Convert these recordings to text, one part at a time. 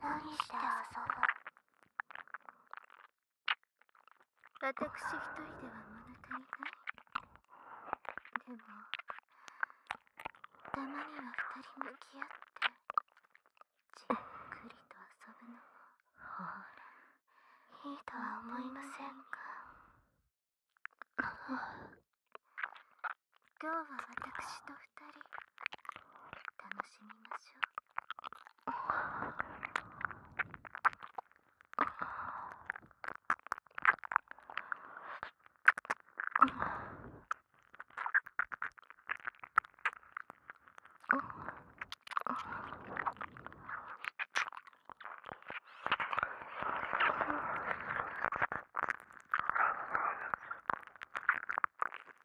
何して遊ぶ私一人では物足りないでもたまには二人向き合ってじっくりと遊ぶのもほらいいとは思いませんか今日は私と二人楽しみましょう。体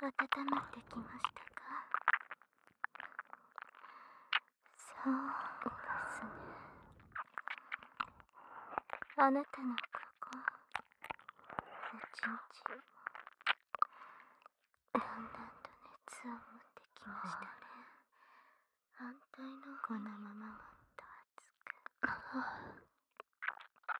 温まってきましたかそうですねあなたのここおちんちんもだんだんと熱を持ってきましたね反対のこのままもっと熱く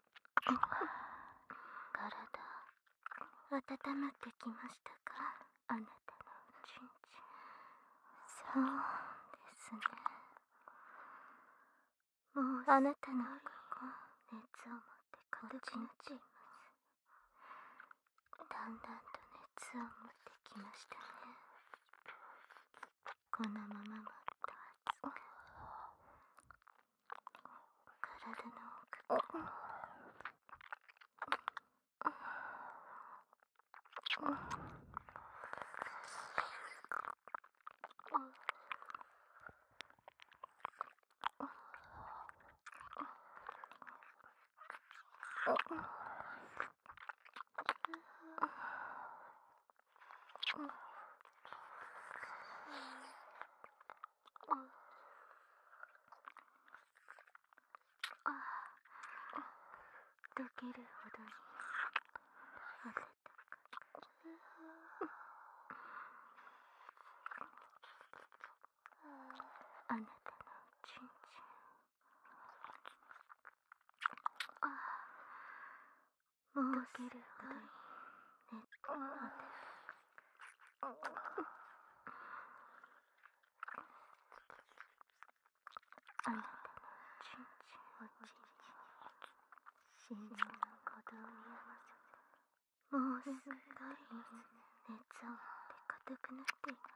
体温まってきましたかあなたのちんちんそうですねもうあなたのここ熱を持ってこっちにちいまだんだんと熱を持ってきましたねこのままもっと熱く体の奥から溶けるほどに温かあなたのちんちんあもうすぐ寝てあなたのちんちんをちんちん真珠の鼓動に合わせてもうすぐ帰り熱を持って硬くなっています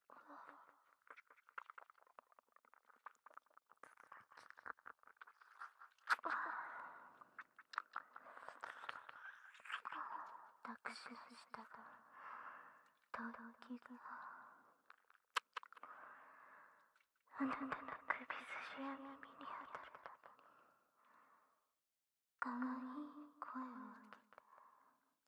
握手したがとろきがあなたの首筋や耳に当たるかわいい声を上げて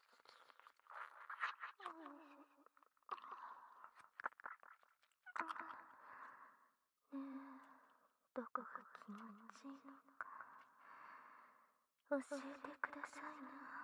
ねえどこが気持ちいいのか教えてくださいな。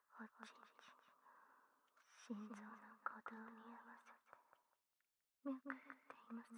おちんち心臓の鼓動に合わせて脈打っていますね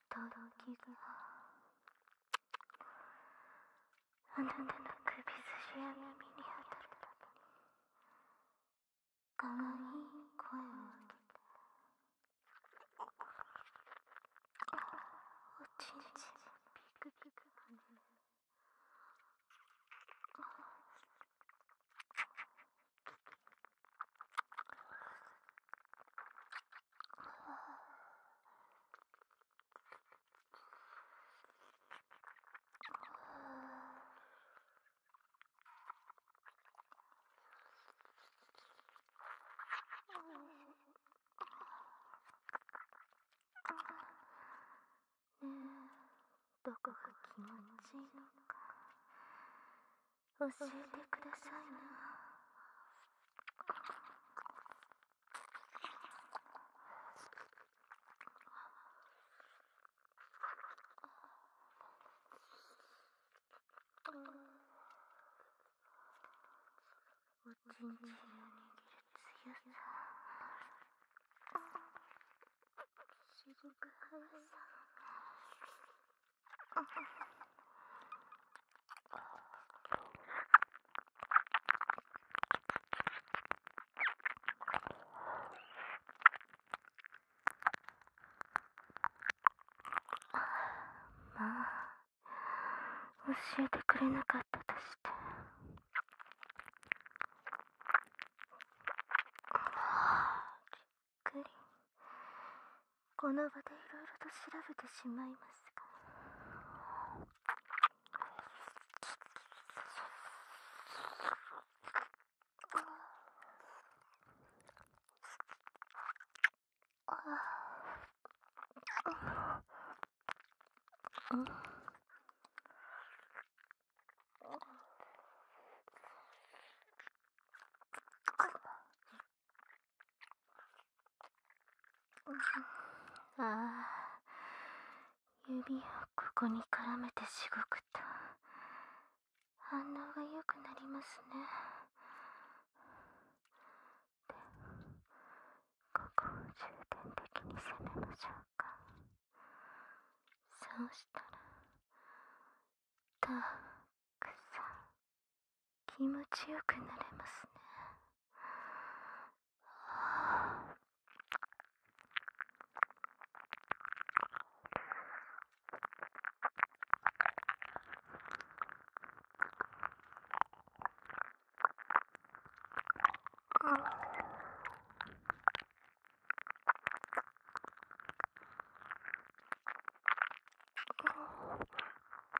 とろきがあなたの首筋や耳に当たるかわいい声をおちんちんピクピク跳ねるどこが気持ちいいのか教えてくださいなおちんちんを握る強さすごく速さまあ教えてくれなかったとして。はびっくりこの場でいろいろと調べてしまいますが。ああ指をここに絡めてしごくと反応がよくなりますねでも、ここを重点的に攻めましょうかそうしたらたさん気持ちよくなれますねは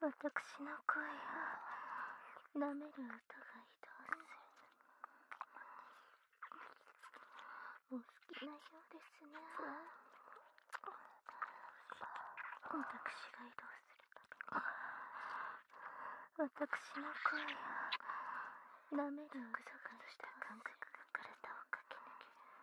私の声を舐める音が移動するお好きなようですね私が移動する私の声を舐める音がした感覚が体を駆け抜ける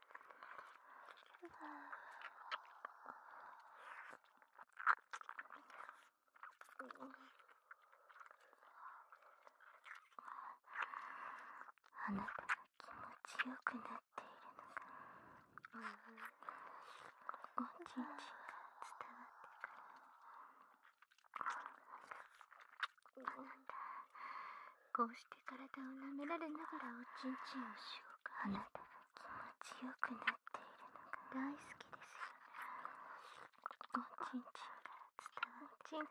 あなたが気持ちよくなっているのさ…おちんちんが伝わってくるあなたこうして体を舐められながらおちんちんをしようかあなた気持ちよくなっているのが大好きですよおちん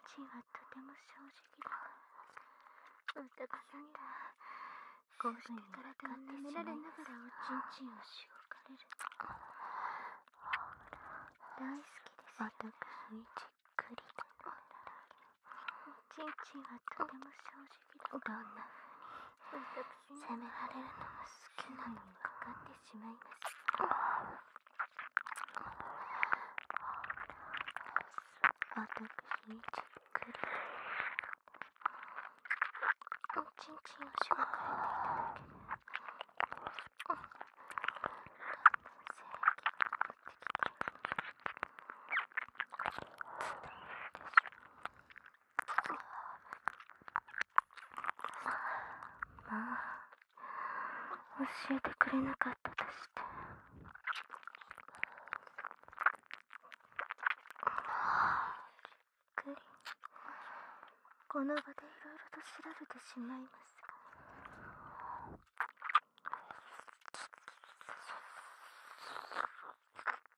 ちんが伝わる。ちんちんはとても正直だから。男さんがこうして体を舐められながらおちんちんをしごかれる。大好きですよ、私じっくりと舐められる。チンチンはとても正直だどんなふうに責められるのが好きなのかかってしまいます私にじっくりおちんちんを紹介いただける私はまあ教えてくれなかったとしてびっくりこの場でいろいろと調べてしまいますが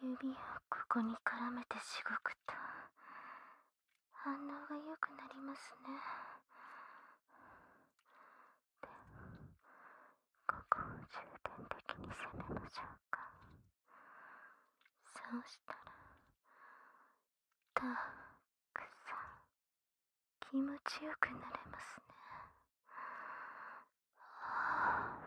指をここに絡めてしごくと反応がよくなりますねでも、ここを重点的に攻めましょうかそうしたらたくさん気持ちよくなれますねは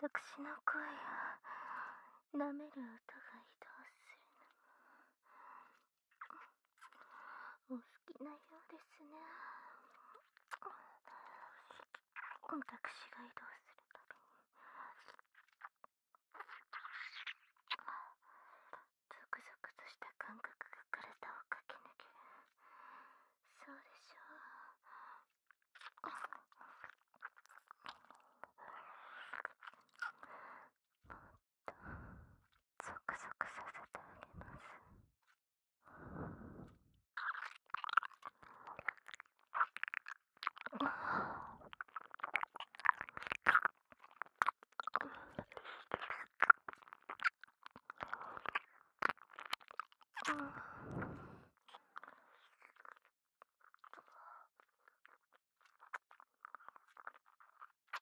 私の声を舐める音が移動するのお好きなようですね私が移動するたびにゾクゾクとした感覚が体を駆け抜けるそうでしょうもうゾクゾクさせてあげます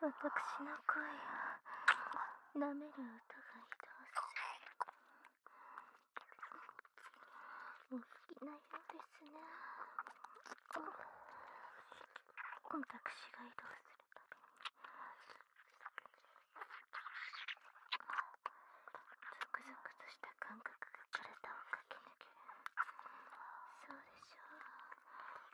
わたくしの声を舐める音が移動するお好きなようですねわたくしが移動するたびにぞくゾクとした感覚が体を駆け抜けるそうでしょう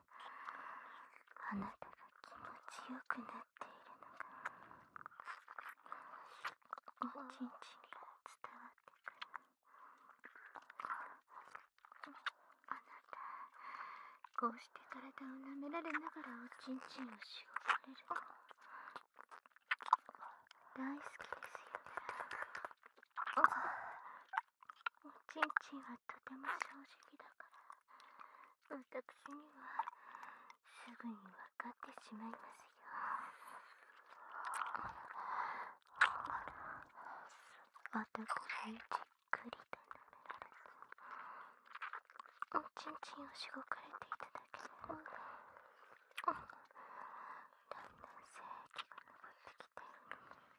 あなたが気持ちよくなっているのがおちんちんが伝わってくるあなたこうして体を舐められながらおちんちんをしおばれるの大好きですよねちんちんはとても正直だから私にはすぐにわかってしまいますよ私にじっくりと舐められて…ちんちんをしごかれていただけでだんだん性器が上ってきてい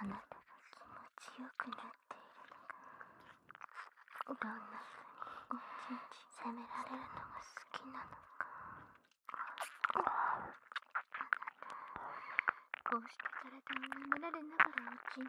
あなたが気持ちよくなっているのがどんなふうに責められるのが好きなのかあなたこうして体を舐められながらうちに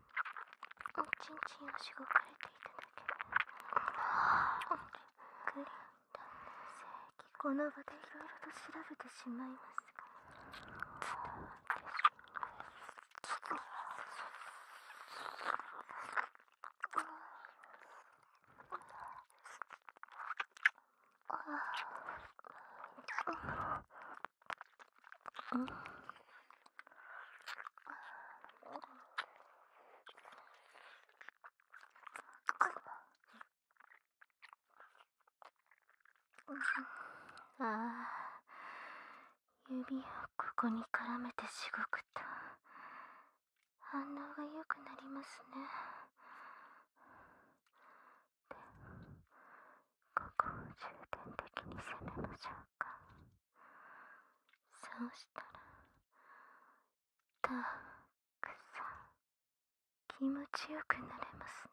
おちんちんをしごかれていただけるグリーン男性この場でいろいろと調べてしまいますが伝わってしまいますああ指をここに絡めてしごくと反応がよくなりますねでここを重点的に攻めましょうかそうしたらたくさん気持ちよくなれますね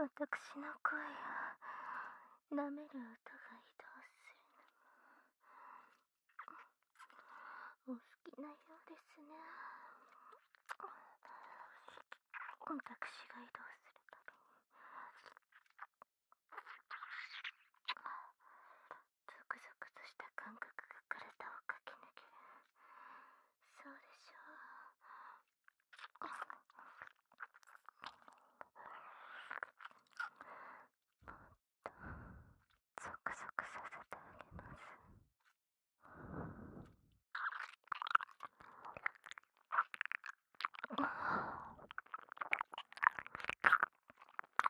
わたくしの声を舐める音が移動するのもお好きなようですね私が移動するたゾクゾクとした感覚が体を駆き抜き、るそうでしょうもっとゾクゾクさせてあげます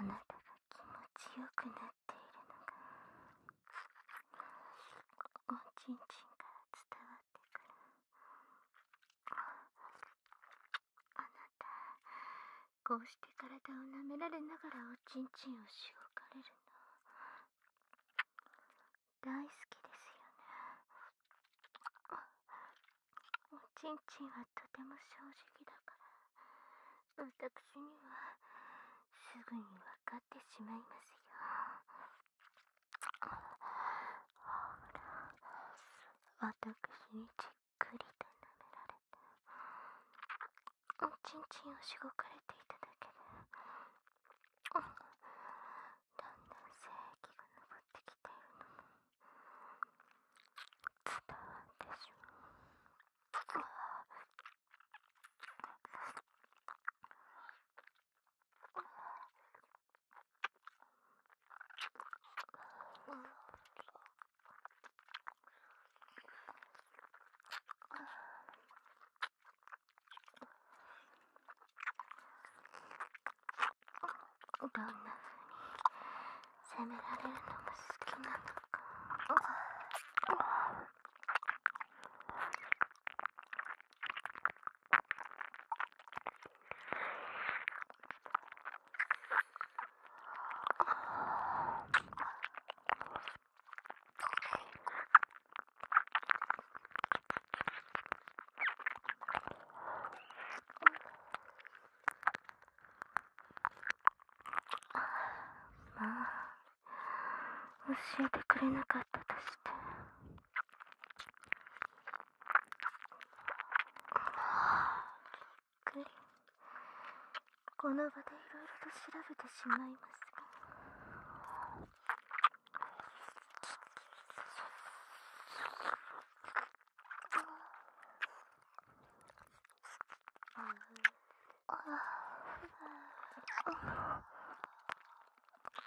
あなたが気持ちよくなっているのがおちんちんから伝わあなたこうして体を舐められながらおちんちんをしごかれるの大好きですよねおちんちんはとても正直だから私にはすぐにわかってしまいますよほら私にじっくりと舐められておちんちんをしごかれていただけでだんだん精液が上ってきているのも伝わってしまう。どんな風に責められるのも好きなのか。まあ教えてくれなかったとして。っくりこの場でいろいろと調べてしまいますが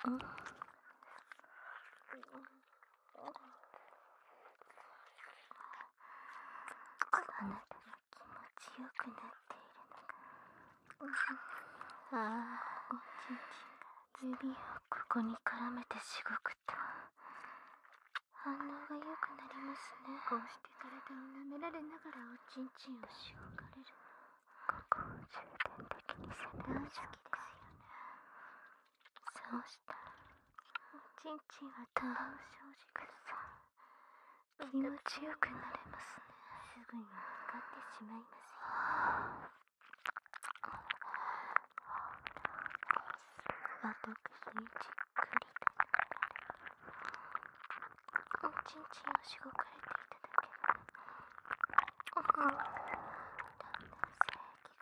うん。あなたが気持ちよくなっているのがああおちんちんが指をここに絡めてしごくと反応がよくなりますねこうして体を舐められながらおちんちんをしごかれるここを重点的に攻めるの好きですよねそうしたら、ちんちんはたわを生じくさ気持ちよくなれますねすぐに分かってしまいますよ私にじっくりとおちんちんをしごかれていただける男性器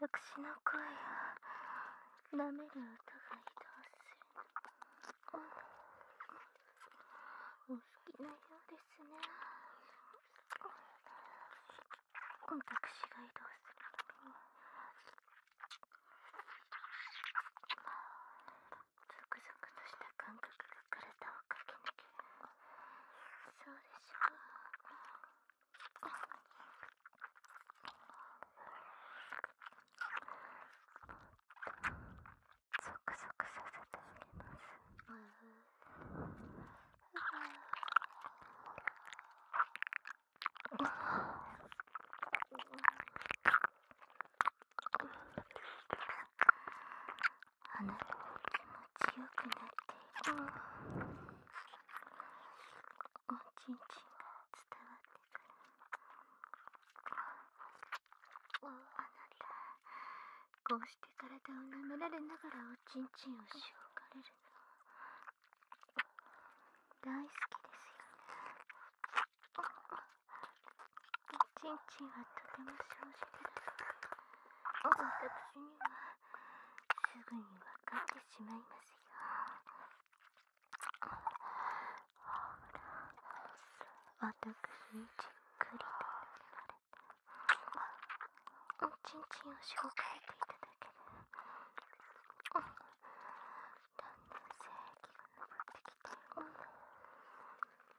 私の声を舐める音が移動するお好きなようですね私が移動するたびにザクザクとした感覚が体を駆け抜けそうでしょうゾクゾクさせてあげますうんうんあなたも気持ちよくなっているおちんちんが伝わってくるあなたこうして体を舐められながらおちんちんをしおかれるの大好きですよねチンチンはとても正直だ私にはすぐに分かってしまいますよほら、私にじっくりと塗られてチンチンを紹介ていただける。だんだん正義が昇ってきて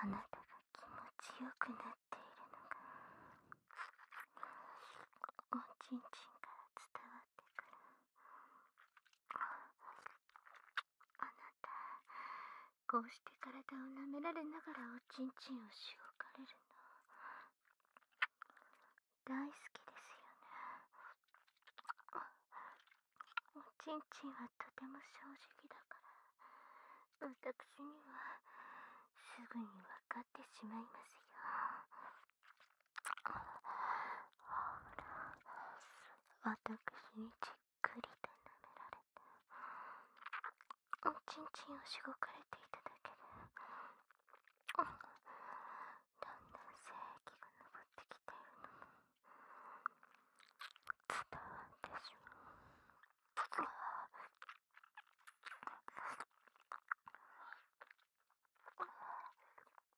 あなたが気持ちよくなっているのがおちんちんから伝わってくる。あなたこうして体を舐められながらおちんちんをしごかれるの大好きですよねおちんちんはとても正直だから私にはすぐにわかってしまいますよほら私にじっくりと舐められておちんちんをしごかれていただけでだんだん精液が上ってきているのも伝わってしまう。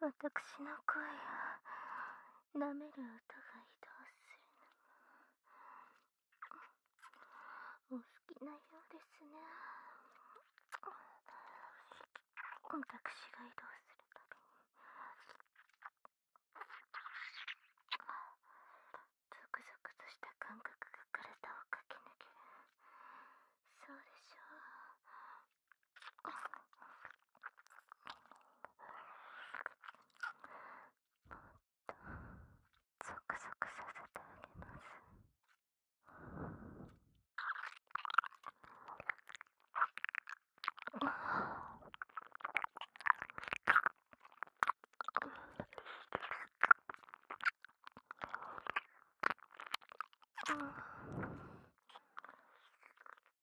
わたくしの声舐める音が移動するのもお好きなようですね私が移動するたにゾクゾクとした感覚が体を駆け抜けるそうでしょうもゾクゾクさせてあげます。ん、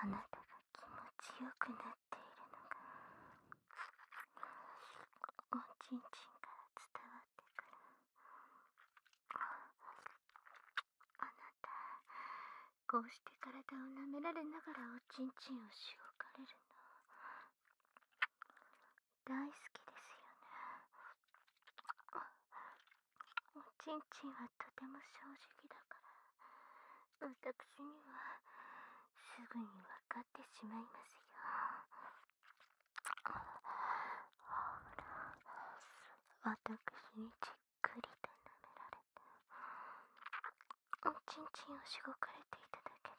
あなたが気持ちよくなっているのがおちんちんから伝わってくるあなたこうして体を舐められながらおちんちんをしごかれるの大好きですよねおちんちんはとても正直だから私にはすぐに分かってしまいますよほら私にじっくりと舐められておちんちんをしごかれていただけで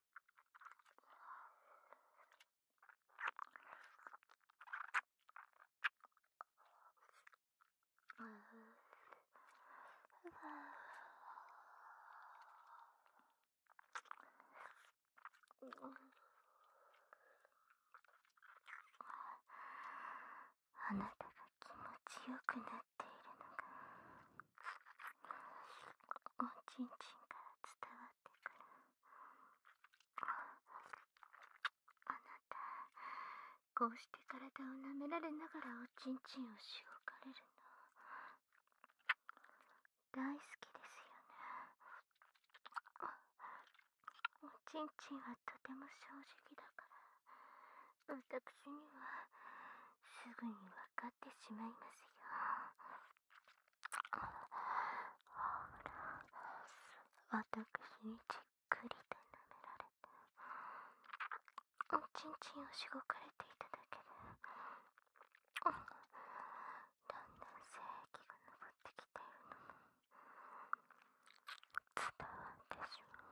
あなたが気持ちよくなっているのがおちんちんから伝わってくるあなたこうして体を舐められながらおちんちんをしおかれるの大好きですよねおちんちんはとても正直だからわたくしにはすぐにわかわってしまいますよ。ほら、私にじっくりと舐められて、おちんちんをしごかれていただけで、だんだん性器が上ってきているのも伝わってしまう。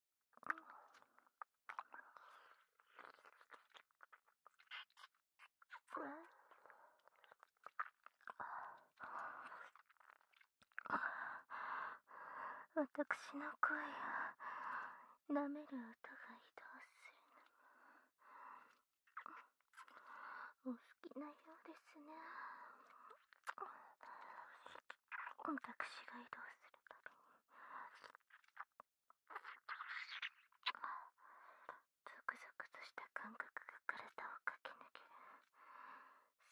私の声を舐める音が移動するのお好きなようですね私が移動するたびにゾクゾクとした感覚が体を駆け抜ける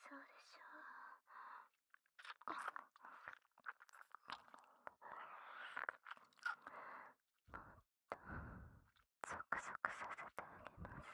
そうでしょうもっとゾクゾクさせてあげます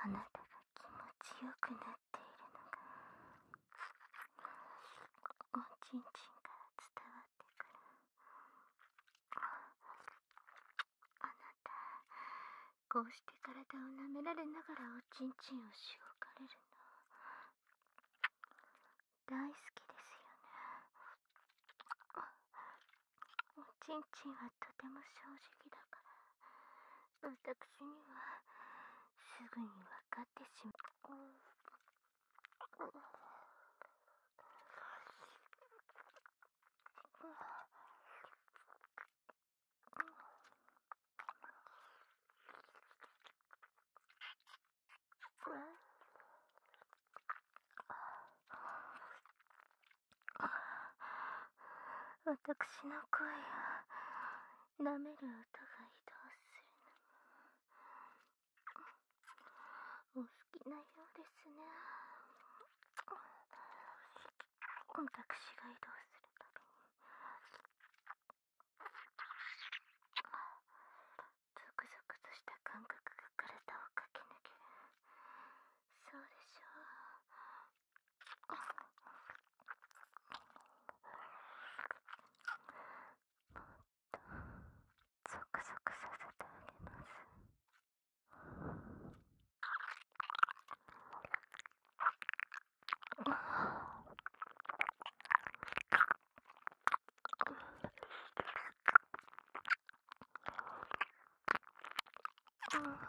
あなたが気持ちよくなっているのがおちんちんから伝わってくるあなたこうして体を舐められながらおちんちんをしおかれるの大好きですよねおちんちんはとても正直だからわたくしにはすぐにわかがってしまう。私の声や舐める音が移動するのお好きなようですね私が移動するたびにゾクゾクとした感覚が体を駆け抜けるそうでしょうもうゾクゾクさせてあげます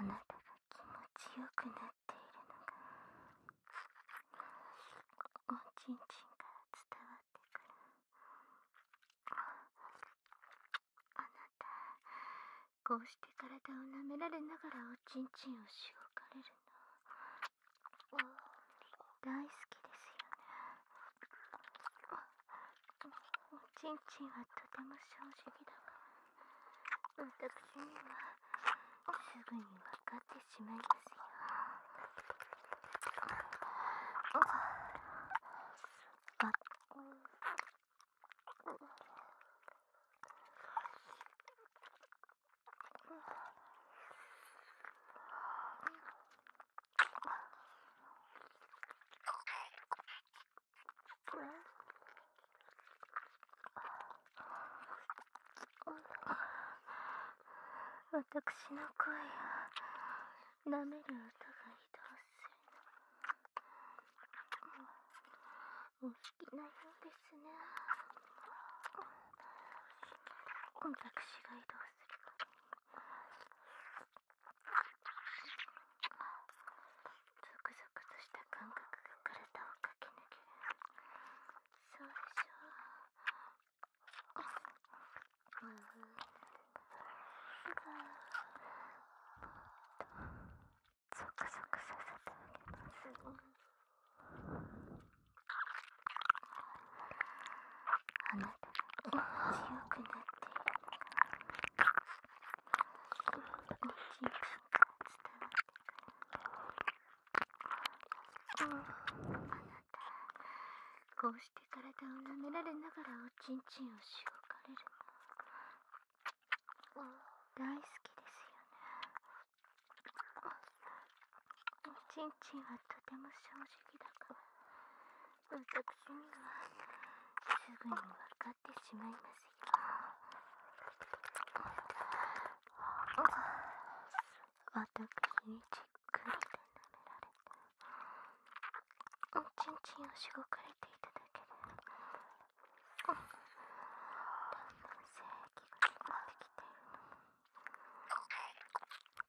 あなたが気持ちよくなっているのがおちんちんから伝わってくるあなたこうして体を舐められながらおちんちんをしごかれるの大好きですよねおちんちんはとても正直だが私にはすぐにわかってしまいますよあ私の声を舐める音が移動するのお好きなようですね私が移動するゾクゾクとした感覚が体を駆け抜けるそうでしょう、うん、ゾクゾクさせてあげます、あなたがよくなっているから伝わってくるあなたこうして体を舐められながらおちんちんをしごかれるの大好きですよねおちんちんはとても正直だから私にはすぐに分かってしまいますよ。私じっくりと舐められて、ちんちんをしごかれていただけで、だんだん精液が溜まってきてる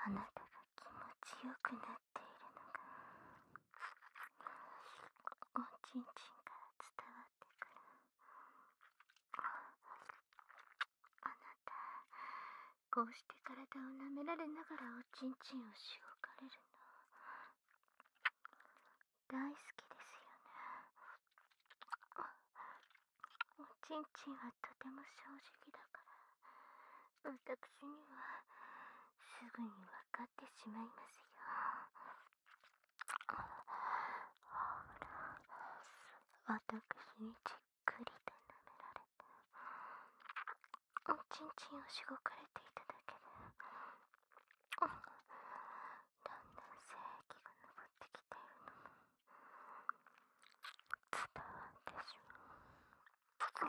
あなたが気持ちよくなっているのがおちんちんから伝わあなたこうして体を舐められながらおちんちんをしおかれるの大好きですよねおちんちんはとても正直だから私にはすぐにわかってしまいますよ私にじっくりと舐められておちんちんをしごかれていただけでだんだん精液が上ってきているのも伝わってしまう。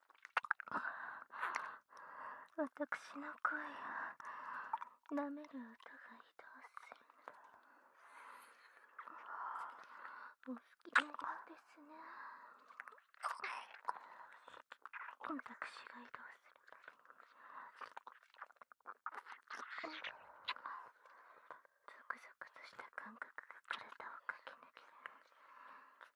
私の声を舐める音が移動するお好きなようですね私が移動するゾクゾクとした感覚が体を駆け抜けるそうでしょう。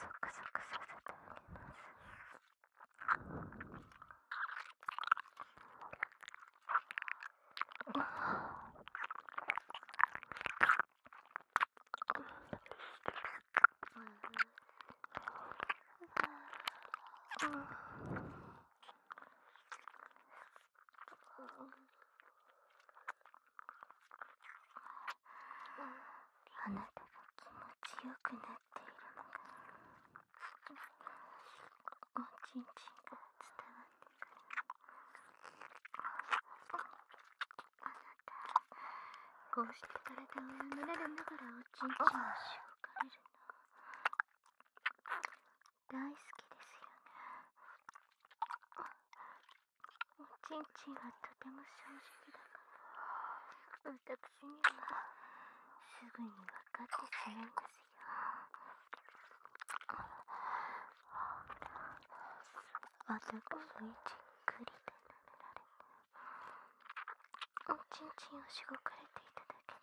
ゾクゾクさせてあます。うん。あなたが気持ちよくなっているのがおちんちんが伝わってくるあなたこうして体を舐められながらおちんちんをしょかれるの大好きですよねおちんちんがとても正直だから私にはすぐに分かってしまいますよは私もじっくりとおちんちんをしごかれていただけで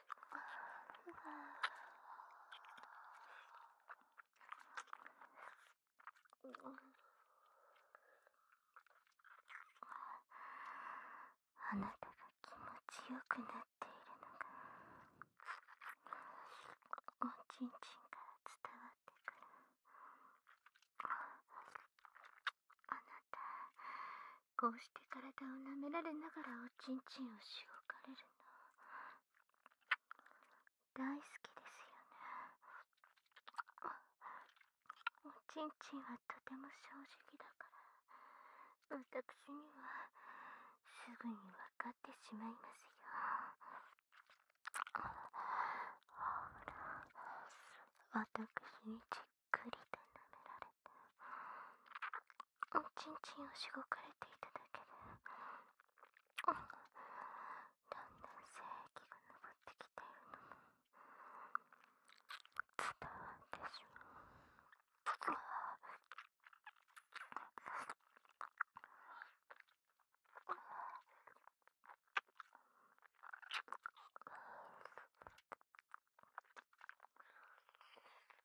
あなたが気持ちよくなっているのがおちんちんから伝わってくるあなたこうして体を舐められながらおちんちんをしおかれる大好きですよねおちんちんはとても正直だから私にはすぐに分かってしまいますよほら私にじっくりと舐められておちんちんをしごかれていただけでだんだん精液が上ってきているのも伝わってしまう。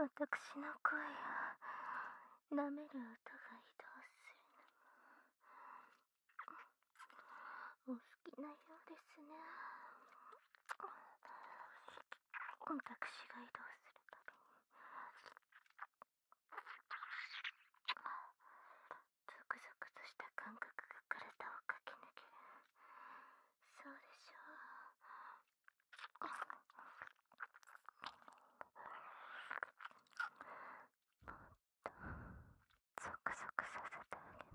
わたくしの声を舐める音が移動するのお好きなようですねわたくしが移動するたびにゾクゾクとした感覚が体を駆け抜けるそうでしょうゾクゾクさせてあげま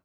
す。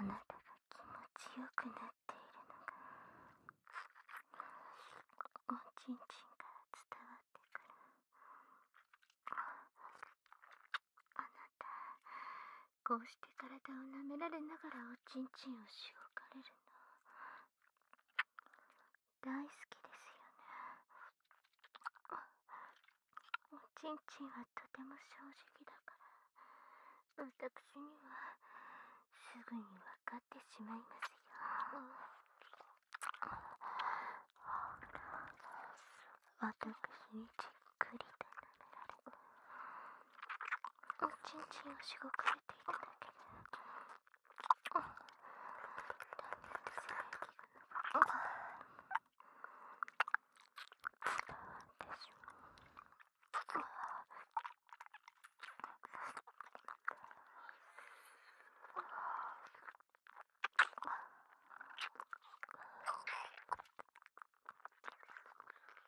あなたが気持ちよくなっているのがおちんちんから伝わってくるあなたこうして体を舐められながらおちんちんをしごかれるの大好きですよねおちんちんはとても正直だから私にはすぐに分かってしまいますよ私にじっくりと舐められおちんちんをしごかれていただけるだんだん唾液が流れ伝わってしまう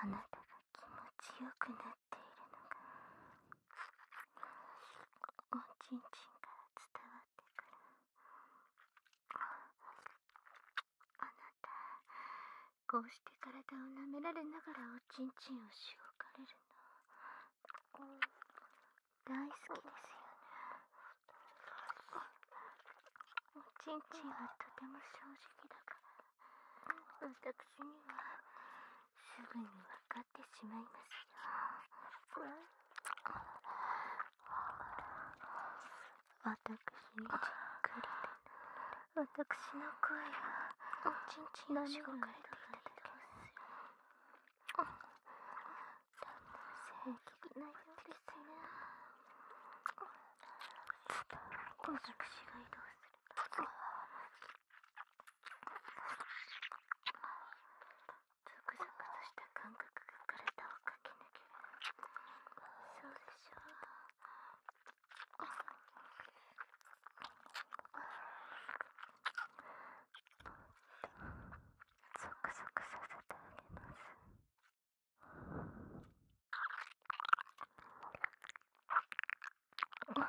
あなたが気持ちよくなっているのがおちんちんから伝わってくるあなたこうして体を舐められながらおちんちんをしごかれるの大好きですよねおちんちんはとても正直だから私にはすぐにわかってしまいますよ私にじっくり私の声はちんちんをしごかれていただけますよだんだん正ないようですね私が移動するクザクとした感覚が体を駆け抜けそうでしょゾクゾクさせてあげます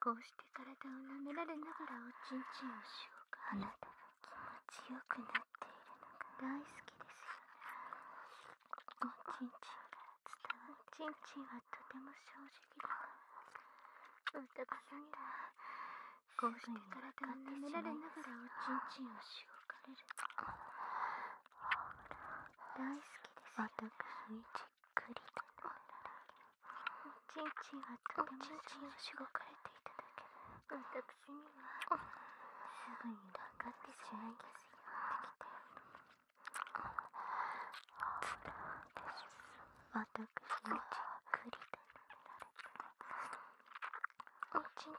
こうして体を舐められながらおちんちんをしようかあなたが気持くなっているのが大好きですよおちんちんか伝わるおちんちんはとても正直だから私にはこうして体を舐められながらおちんちんをしようかれる大好きですよ、ね、私くりと飲んだらおちんちんがとてもしごかれていただけ私にはすぐに分かってしまいますよ私はくりれていただけ男性器